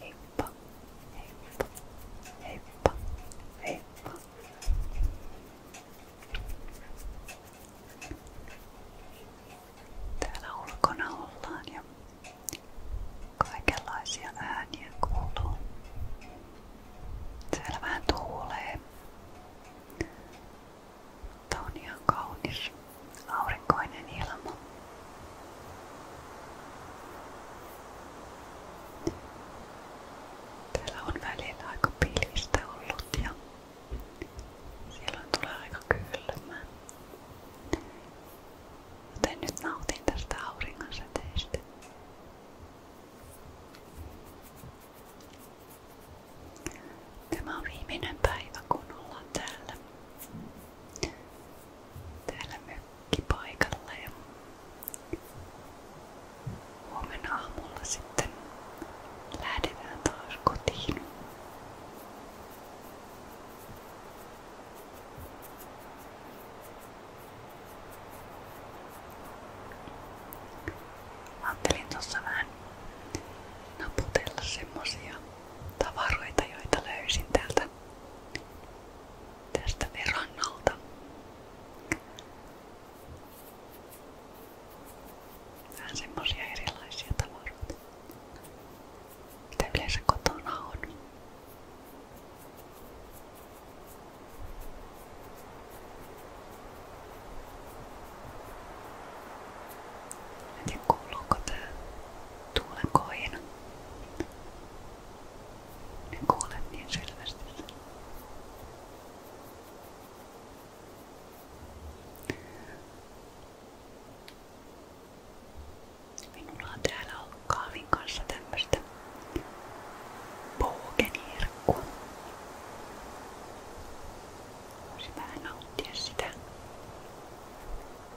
Heippa, heippa, Täällä ulkona ollaan ja kaikenlaisia ääniä kuuluu. Siellä vähän tuulee. Tämä on kaunis aurinkoinen ilma. Täällä on välillä aika pilvistä ollut ja silloin tulee aika kylmää. Joten nyt nautin tästä auringonsäteestä. Tämä on viimeinen päivä kun ollaan täällä täällä mökkipaikalla ja huomenna aamulla sitten lähdetään kotiin. Ajattelin tuossa naputella semmosia tavaroita, joita löysin täältä tästä verannalta. Vähän semmosia erilaisia tavaroita, mitä yleensä kotona on. En tiedä kuuluuko tää tuulen kohina. Nyt kuulet niin selvästi sen. Minulla on täällä ollut kahvin kanssa tämmöstä bogenherkkua. Voisi vähän nauttia sitä.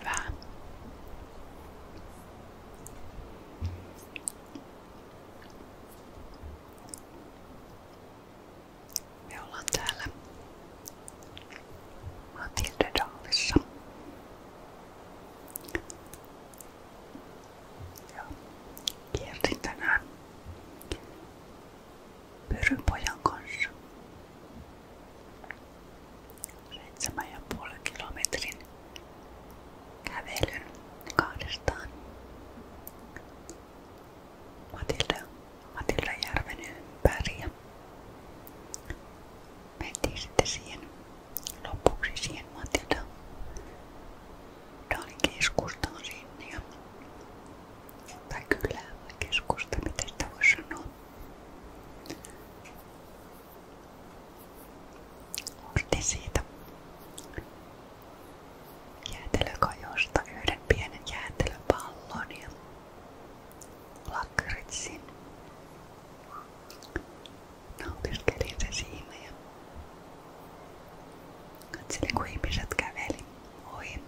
Hyvä. Me ollaan täällä Matilde Daalissa. Ja kiersin tänään Pyrypojan kanssa. Seitsemän ja puolen kilometrin kävelyn kahdestaan. Matilda, Matilda järven ympäri ja mentiin sitten siihen lopuksi siihen Matilda Tää oli keskustaan sinne ja, tai kylään vai keskusta, miten sitä voi sanoa. Ostin siitä jäätelökajosta yhden pienen jäätelöpallon ja lakritsin nautiskelin se siinä ja katselin kun ihmiset käveli ohi.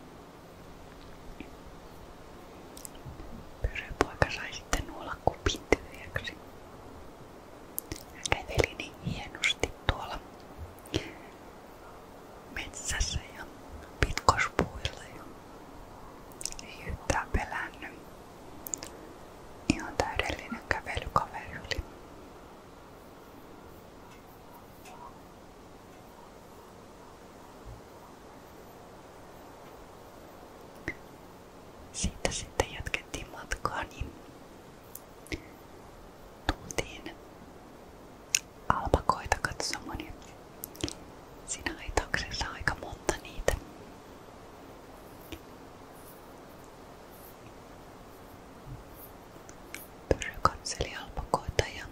Pyrypoika sai sitten nuolla kupin tyhjäksi. Hän käveli niin hienosti tuolla metsässä ja pitkospuilla ja ei yhtään pelännyt. Ihan täydellinen kävelykaveri oli. Siitä sitten jatkettiin matkaa, niin tultiin alpakoita katsomaan ja siinä aitauksessa aika monta niitä. Pyrry katseli alpakoita ja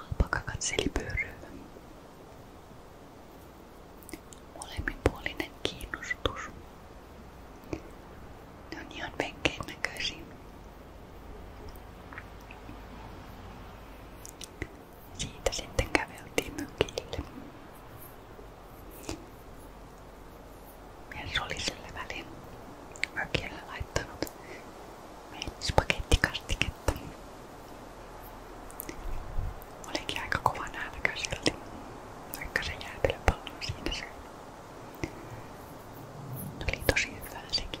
alpaka katseli pyrryä. Molemminpuolinen kiinnostus. Ne on ihan venkeen näköisiä. Siitä sitten käveltiin mökille. Mersu oli sillä välin mökille laittanut meille spagettikastiketta. Olikin aika kova nälkä silti, vaikka se jäätelöpallo siinä se. Oli tosi hyvää sekin.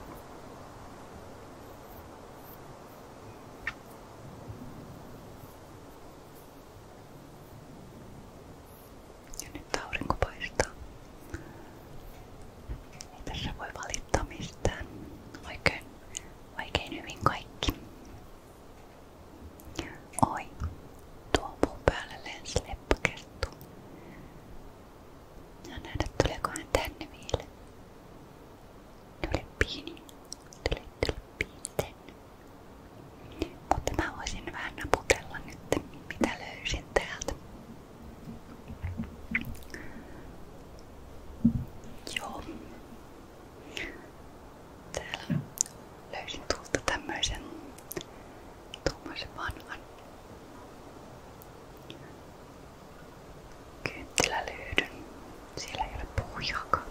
Ja nyt aurinko paistaa. Ei tässä voi valittaa mistään. Oikein, oikein hyvin kaikki. Oi, tuo mun päälle lensi leppakerttu. Ja nähdä tuleeko hän tänne vielä. Tule pieni, tule, tule pieni tänne. Mutta mä voisin vähän naputella nyt, mitä löysin täältä. Joo. Täällä löysin tuolta tämmöisen tuommoisen vanhan kynttilälyydyn. Siellä ei ole puhujakaan.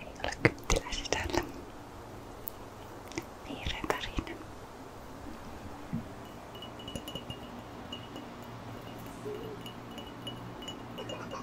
Ei ole kynttilä sisällä. Vihreän värinen. Täällä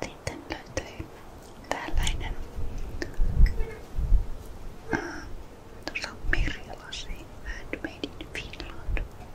Sitten löytyy tällainen äh, tuossa on merilasi, handmade in Finland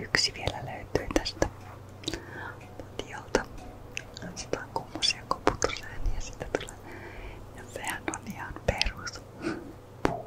Yksi vielä löytyy tästä tiolta. Laitetaan kummosia koputusääniä ja siitä tulee. Ja sehän on ihan perus. Puu.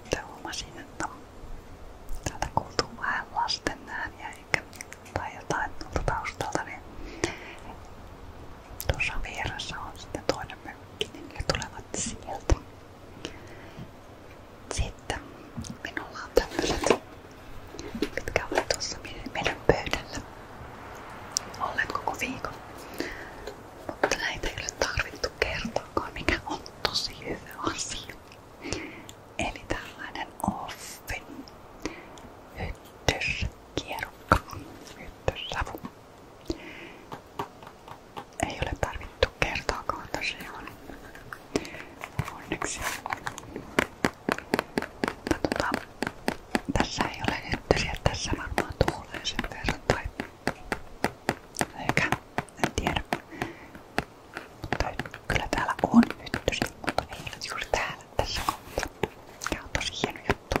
Sitten huomasin, että täältä kuultuu vähän lasten tai jotain tuolta taustalta, niin tuossa vieressä on sitten toinen mökki, niin ne tulevat sieltä. Sitten minulla on tämmöiset, mitkä ovat tuossa meidän pöydällä olleet koko viikon. Mutta näitä ei ole tarvittu kertaakaan mikä on tosi hyvä asia. Eli tällainen offin hyttyskierukka, hyttyssavu. Ei ole tarvittu kertaakaan tosiaan. Onneksi. Tota, tässä ei ole hyttysiä, tässä varmaan tuulee sen verran tai eikä en tiedä. Mutta kyllä täällä on hyttysiä, mutta ei ole juuri täällä tässä kohtaa. Tää on tosi hieno juttu.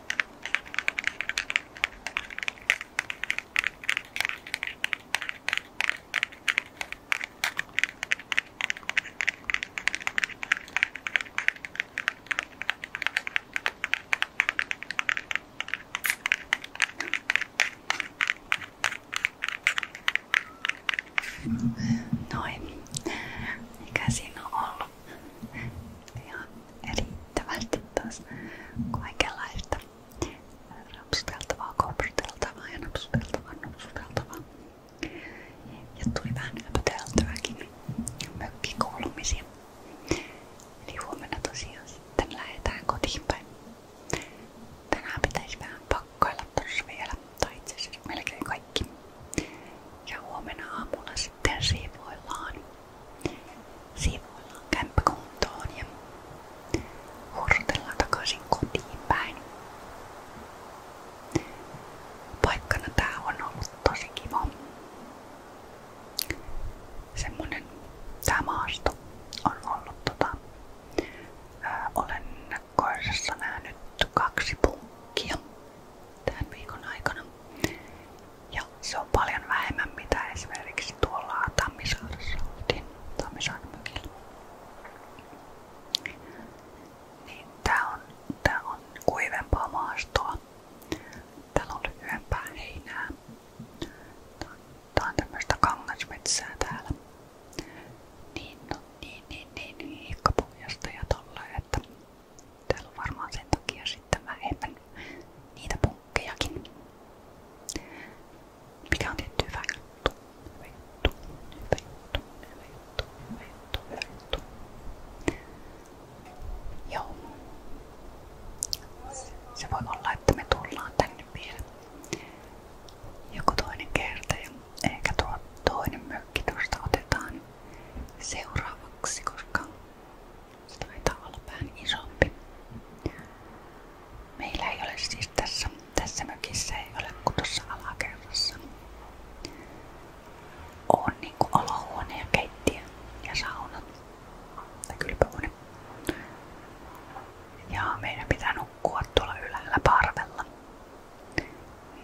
Noin. Mikä siinä on ollut? Ihan riittävästi taas kaikenlaista rapsuteltavaa, kopsuteltavaa ja napsuteltavaa, napsuteltavaa. Ja tuli vähän höpöteltyäkin mökkikuulumisia. Eli huomenna tosiaan sitten lähdetään kotiin päin. Tänään pitäisi vähän pakkailla tossa vielä, tai itse asiassa melkein kaikki. Ja huomenna aamulla sitten siivoillaan siivoillaan kämppäkuntoon ja hurrutellaan takaisin kotiin päin. Paikkana tää on ollut tosi kiva. Semmonen tää maasto on ollut tota, ää, olen koirassa nähnyt kaksi punkkia tämän viikon aikana ja se on paljon vähemmän mitä esimerkiksi tuolla Tammisaaressa oltiin Tammisaaren mökillä. Niin tää on, tää on kuivempaa maastoa. Täällä on lyhyempää heinää. Tää on tämmöistä kangasmetsää täällä. Niin, no, niin, niin, niin, niin hiikkapohjasta ja tolla, että Täällä on varmaan sen takia sitten vähemmän niitä punkkejakin. Mikä on tietty hyvä juttu. Hyvä juttu, hyvä juttu, hyvä juttu, hyvä juttu, hyvä juttu. Joo. Se, se voi olla, että me tullaan tänne vielä joku toinen kerta ja ehkä tuo toinen mökki tuosta otetaan seuraavaksi, koska se taitaa olla vähän isompi. Meillä ei ole siis tässä, tässä mökissä alakerrassa. On niinku olohuone ja keittiö ja sauna. Tai kylpyhuone. Ja meidän pitää nukkua tuolla ylhäällä parvella.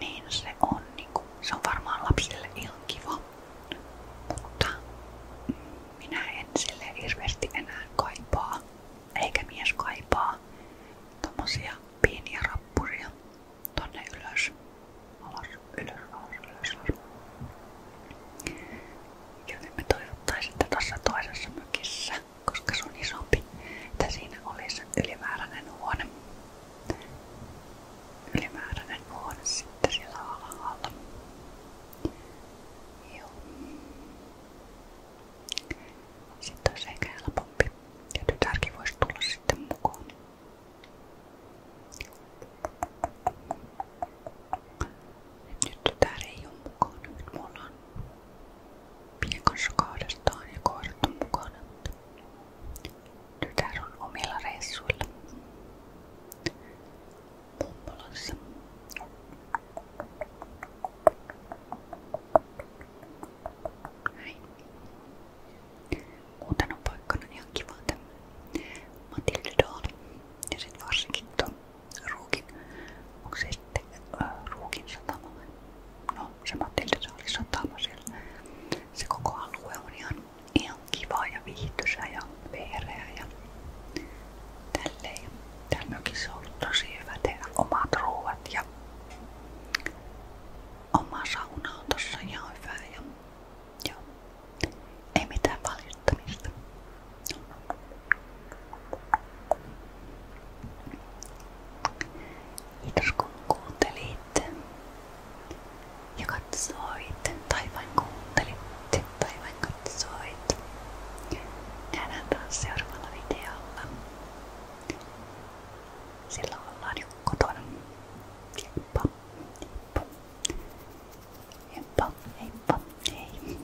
Niin se on niinku, se varmaan lapsille ihan mutta minä en sille hirveästi enää kaipaa, eikä mies kaipaa tommosia pieniä rappuria tonne ylös, alas, ylös, alas, ylös, alas. Joten me toivottaisin, että tuossa toisessa mökissä, koska se on isompi, että siinä olisi ylimääräinen huone ylimääräinen huone sitten siellä alhaalla. Joo. Sitten olisi ehkä helpompi. Ja tytärkin voisi tulla sitten mukaan. Nyt tytär ei ole mukana. Nyt me ollaan Pien kanssa kahdestaan ja koirat on mukana. Tytär on omilla reissuilla. Poppolassa. Näin. Uutena niin on ihan kiva Matilda Dahl. Ja sit varsinkin ton Ruukin. Onko se äh, No se Matilda Dahlin satama siellä. Se koko alue on ihan ihan kivaa ja viihtysä ja veereä ja tälleen. Täällä mökissä on ollut tosi hyvä tehdä omat ruuat ja oma sauna on tossa ihan hyvä ja joo, ei mitään valittamista. Kiitos kun kuuntelitte. Ja katsoi itten taivaan kuunteli taivaan katsoi Nähdään taas seuraavalla videolla. Silloin ollaan jo kotona. Heippa, heippa. Heippa, heippa, hei.